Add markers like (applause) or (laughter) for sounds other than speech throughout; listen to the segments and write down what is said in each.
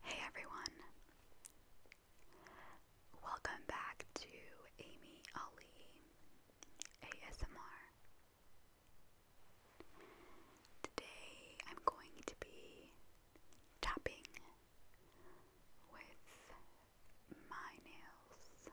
Hey everyone! Welcome back to Amy Ali ASMR. Today I'm going to be tapping with my nails.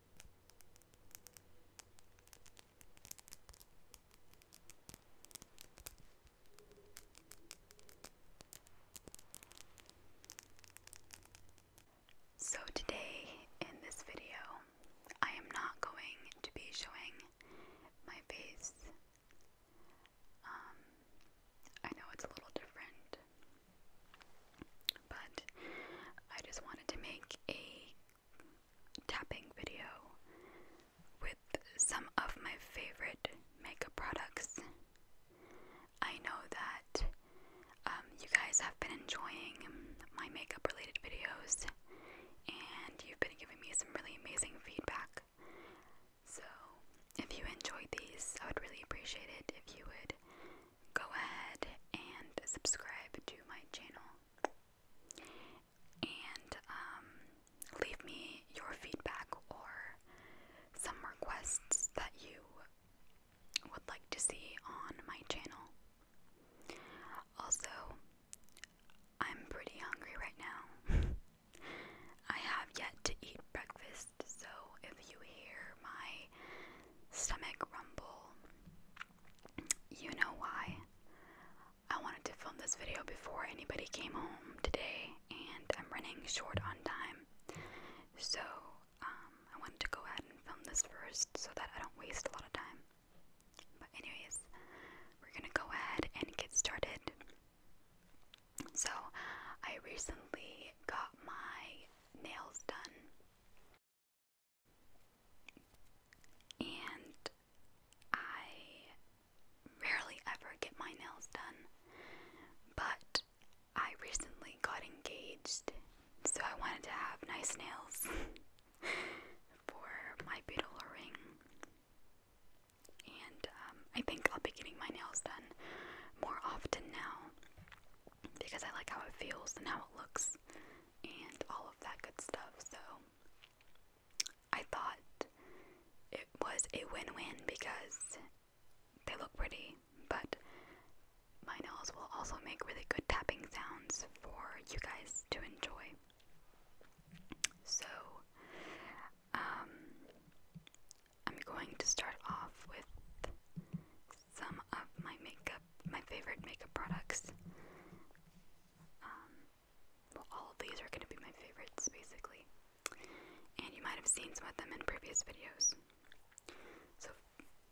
So, today in this video, I am not going to be showing my face. Um, I know it's a little different but I just wanted to make a tapping video with some of my favorite makeup products. I know that um, you guys have been enjoying my makeup related videos and you've been giving me some really amazing feedback. So, if you enjoyed these, I would really appreciate it if you would go ahead and subscribe to my channel and um, leave me your feedback or some requests that you would like to see on my channel. Also, I'm pretty hungry right now. (laughs) I have yet to eat breakfast, so if you hear my stomach rumble, you know why? I wanted to film this video before anybody came home today, and I'm running short on time. So, um, I wanted to go ahead and film this first so that I don't waste a lot of time. But, anyways, we're gonna go ahead and get started. So, I recently got my nails done. And I rarely ever get my nails done, but I recently got engaged, so I wanted to have nice nails (laughs) for my beautiful ring. And um, I think I'll be getting my nails done more often now because I like how it feels and how it looks and all of that good stuff. So I thought it was a win win because they look pretty, but my nails will also make really good tapping sounds for you guys to enjoy. So, um, I'm going to start off with some of my makeup, my favorite makeup products. Um, well, all of these are going to be my favorites, basically. And you might have seen some of them in previous videos. So,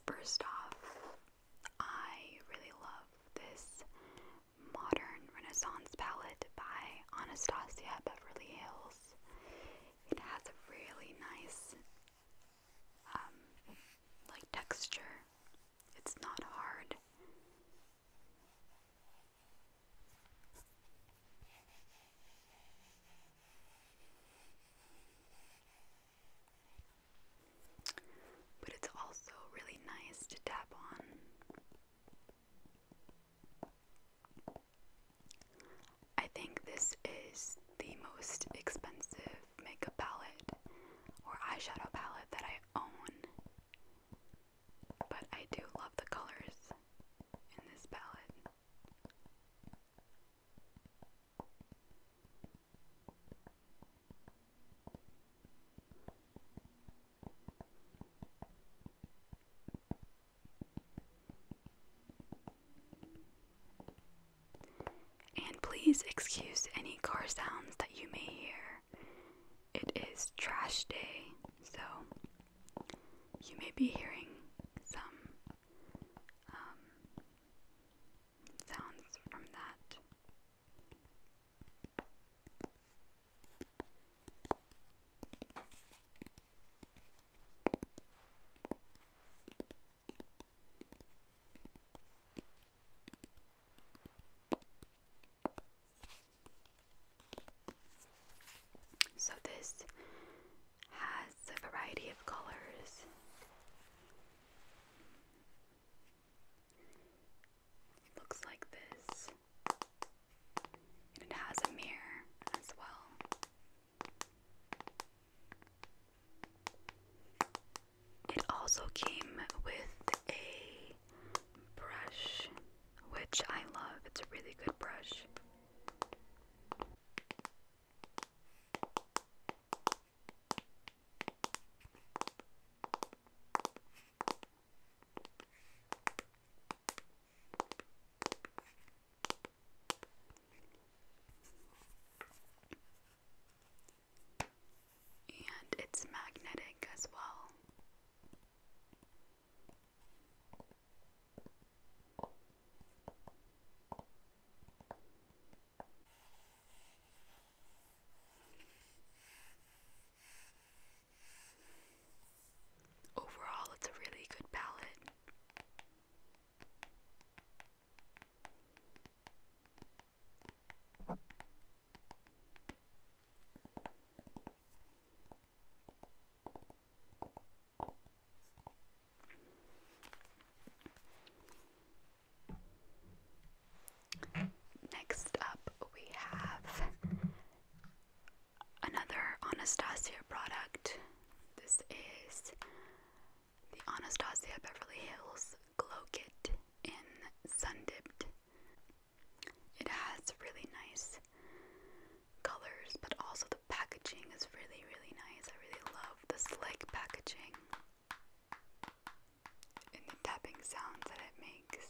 first off, I really love this modern Renaissance palette by Anastasia Beverly Hills. It has a really nice um, like texture. It's not hard. But it's also really nice to tap on. I think this is the most expensive makeup palette or eyeshadow palette that I own, but I do love the colors in this palette. And please excuse any car sounds that you may hear. It is trash day, so you may be hearing some um, sounds from that. So, this has a variety of colors. It looks like this. it has a mirror as well. It also came with a brush, which I love. It's a really good brush. And it's magnetic as well. Overall, it's a really good palette. Next up, we have another Anastasia product. This is the Anastasia Beverly Hills Glow Kit in Sundipped. It has really nice colors, but also the packaging is really, really nice. I really love the slick packaging and the tapping sounds that it makes.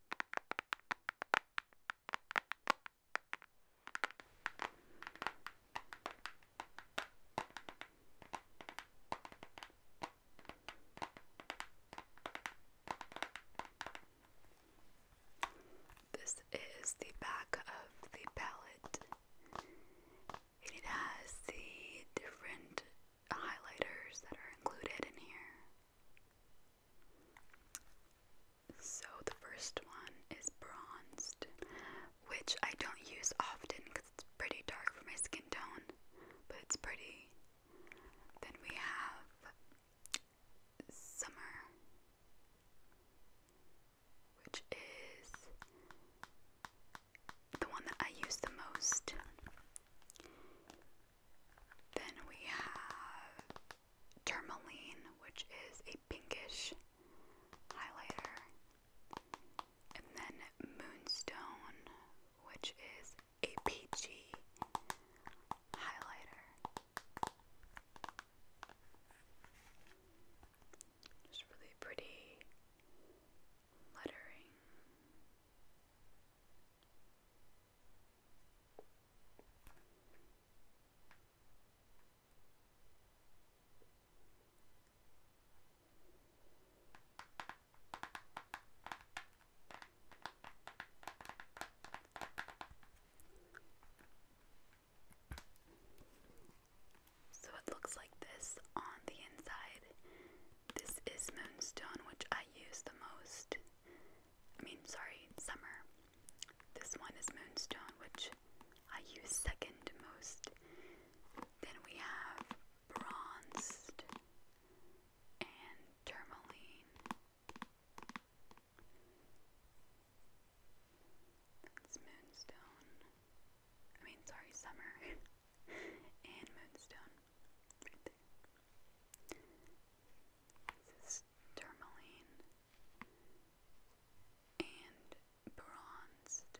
This is the back of the palette. It has the different highlighters that are included in here. So the first one is bronzed, which I don't use often because it's pretty dark for my skin tone, but it's pretty. Then we have summer, which is the one that I use the most. Then we have Tourmaline, which is a pinkish highlighter, and then Moonstone, which is a peachy highlighter. Just really pretty lettering. So it looks like this on the inside. This is moonstone, which I use the most. I mean, sorry, summer. This one is moonstone, which I use second most. Then we have bronze and tourmaline. That's moonstone. I mean, sorry, summer (laughs) and moonstone tourmaline, and bronzed.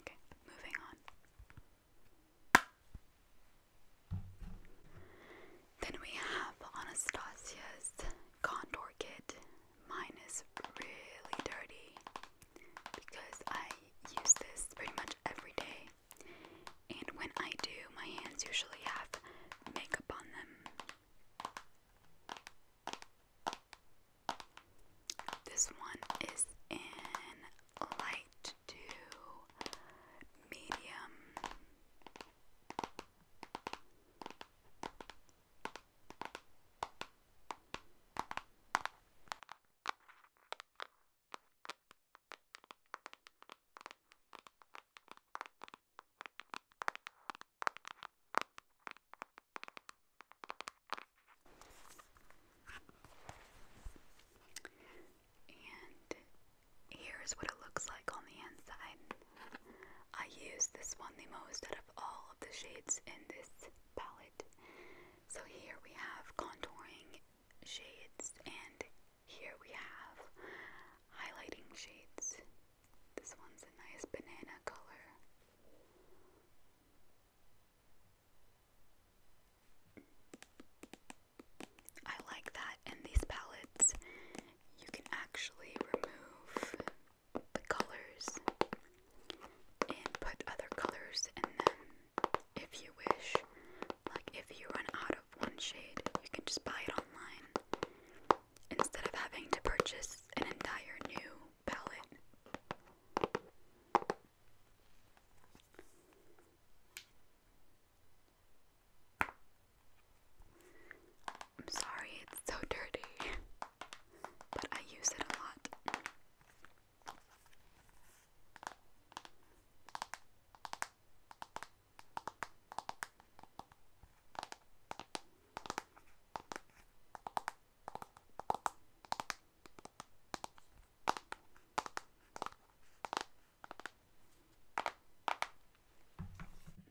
Okay, moving on. Then we have Anastasia's Condor kit. Mine is really dirty because I use this pretty much every day. And when I do, my hands usually have makeup on them. This one is in light to medium. And here's what it looks like on the inside. I use this one the most out of all of the shades in this palette. So here we have contouring shades and here we have highlighting shades. This one's a nice banana color. I like that in these palettes you can actually remove the colors and put other colors in them if you wish. Like if you run out of one shade, you can just buy it online instead of having to purchase an entire new palette. I'm sorry, it's so dirty, but I use it a lot.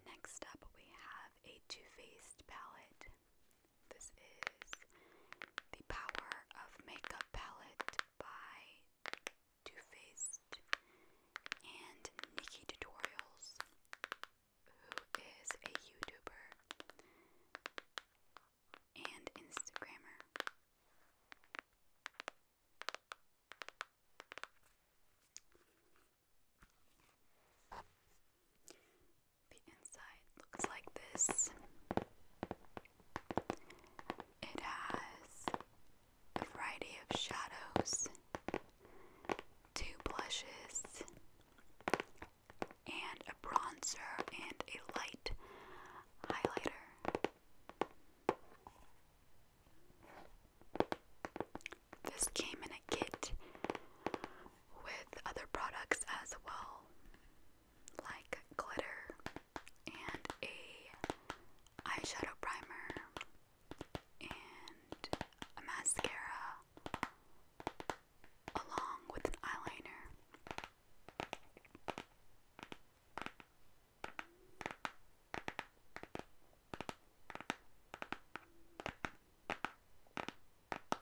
Next up, we have a Too Faced palette. This is the Power of Makeup Palette by Too Faced and Nikki Tutorials, who is a YouTuber and Instagrammer. The inside looks like this. It has a variety of shadows, two blushes, and a bronzer and a light highlighter. This came in a kit with other products as well, like glitter and a eyeshadow primer and a mascara along with an eyeliner.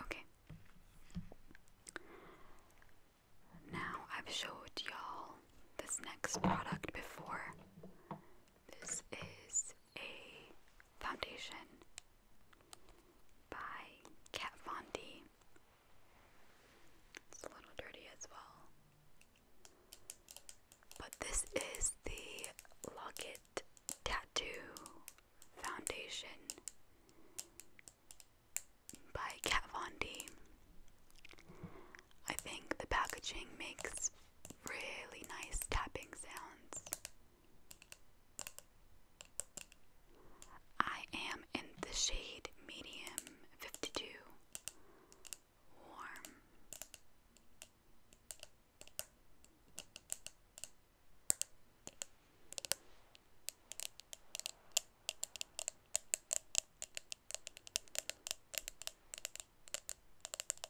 Okay. Now I've showed y'all this next product before. This is a foundation by Kat Von D. It's a little dirty as well. But this is the Locket Tattoo Foundation by Kat Von D. I think the packaging makes really nice tapping sounds. I am in the shade medium 52 warm. I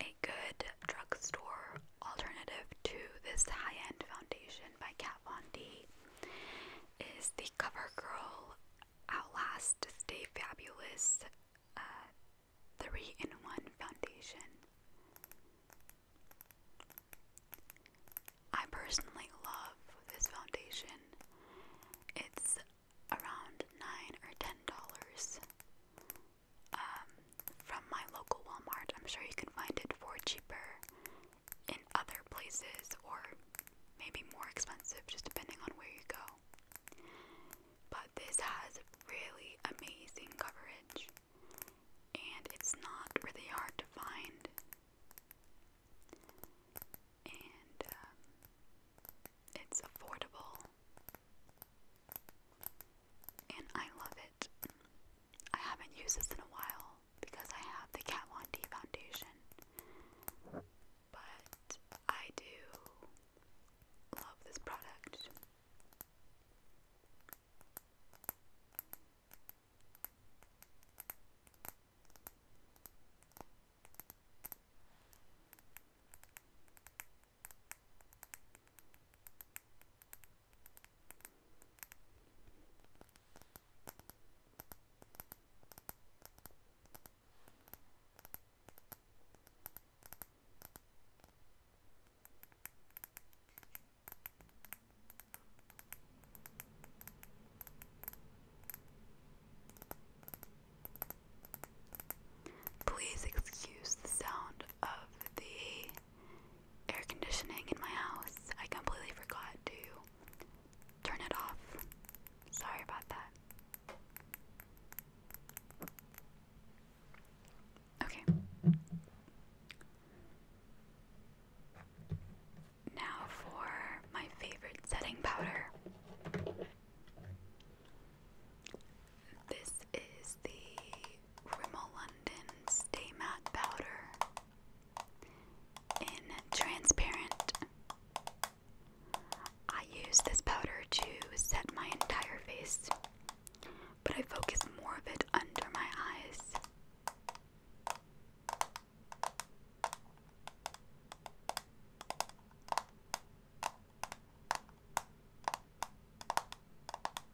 A good drugstore alternative to this high-end foundation by Kat Von D is the CoverGirl Outlast Stay Fabulous 3-in-1 uh, foundation. I personally love this foundation. It's around 9 or $10 um, from my local Walmart. I'm sure you can find it for cheaper in other places or maybe more expensive, just depending on where you go. But this has really amazing coverage, and it's not really hard to find. And um, it's affordable and I love it. I haven't used this in a while because I have the Kat Von D foundation, but I do love this product. Please excuse the sound of the air conditioning in my house. I completely forgot to turn it off. Sorry about that. Okay. Now for my favorite setting powder. This is the Rimmel London Stay Matte Powder in Transparent. I use this powder to set my entire face, but I focus more of it under my eyes.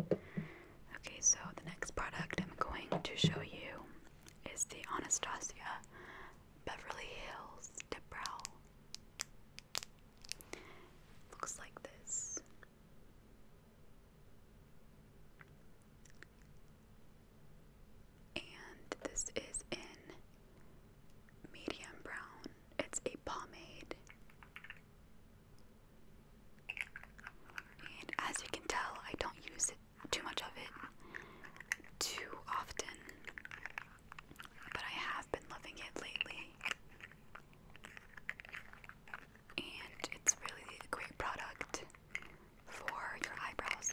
Okay, so the next product I'm going to show you is the Anastasia Beverly Hills Dip Brow. Looks like this. And this is in medium brown. It's a pomade. And as you can tell, I don't use too much of it too often. But I have been loving it lately. And it's really a great product for your eyebrows.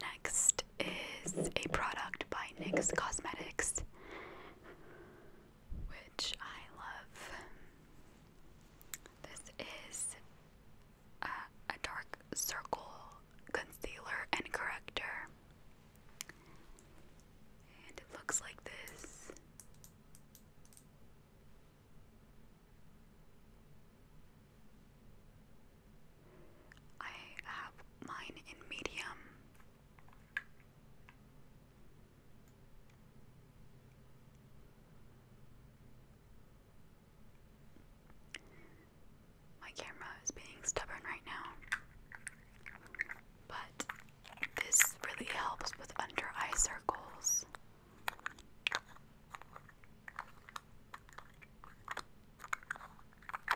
Next is a product by NYX Cosmetics, which I love. This is a, uh, a dark circle concealer and corrector. And it looks like this. I have mine in medium. My camera is being stubborn right now, but this really helps with under eye circles.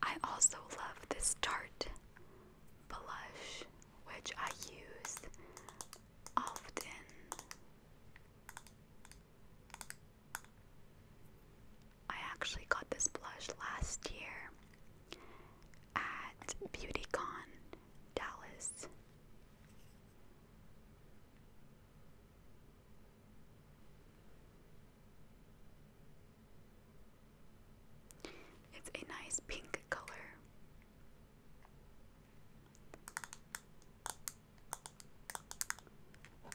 I also love this tart blush, which I use often. I actually got this blush last year at BeautyCon Dallas. It's a nice pink color.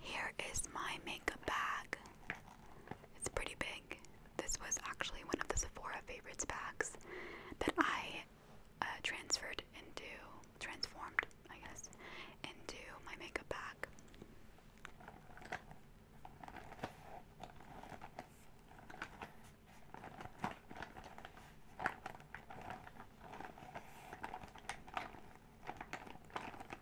Here is my makeup bag. It's pretty big. This was actually one of the Sephora favorites bags that I uh, transferred into, transformed, I guess, into my makeup bag.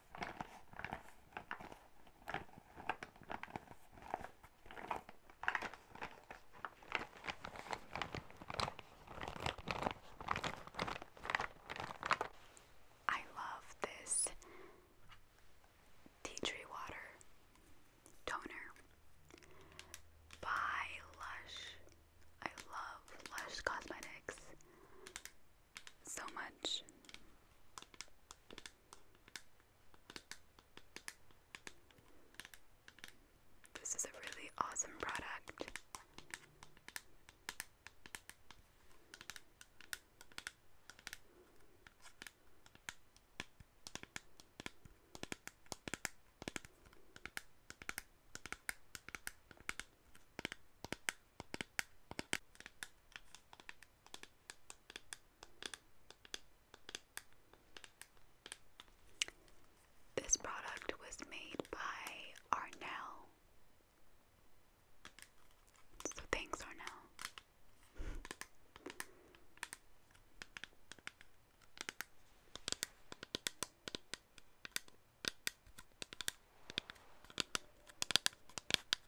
I love this tea tree water toner by Lush. I love Lush Cosmetics so much. This is a really awesome product. This product was made by Arnell. So thanks, Arnell.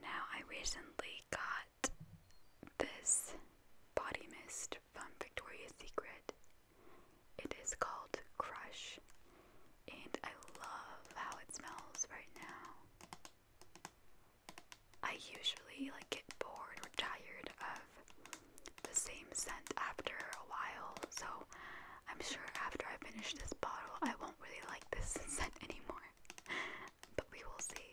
now, I recently got this body mist from Victoria's Secret. It is called Crush, and I love how it smells right now. I usually like get bored or tired of the same scent after a while, so I'm sure after I finish this bottle, I won't really like this (laughs) scent anymore. but we will see.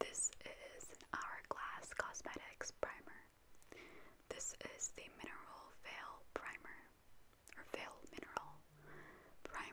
This is an Hourglass Cosmetics primer. This is the Mineral Veil Primer, or Veil Mineral Primer.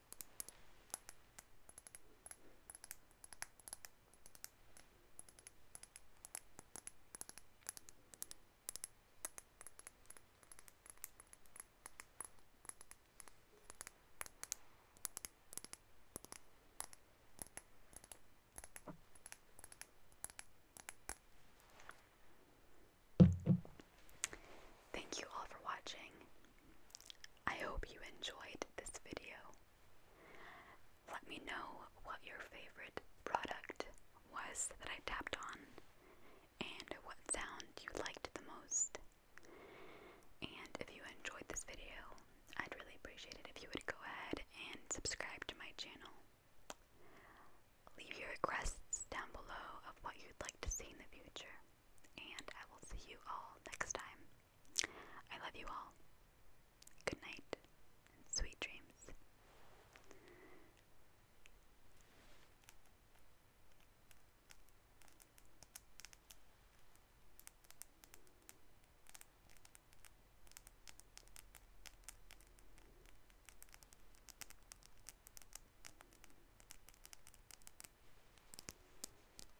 Thank you all for watching. I hope you enjoyed this video. Let me know what your favorite product was that I tapped on and what sound you liked the most. And if you enjoyed this video, I'd really appreciate it if you would go ahead and subscribe to my channel. Leave your requests down below of what you'd like to see in the future and I will see you all next time. I love you all. Good night and sweet dreams.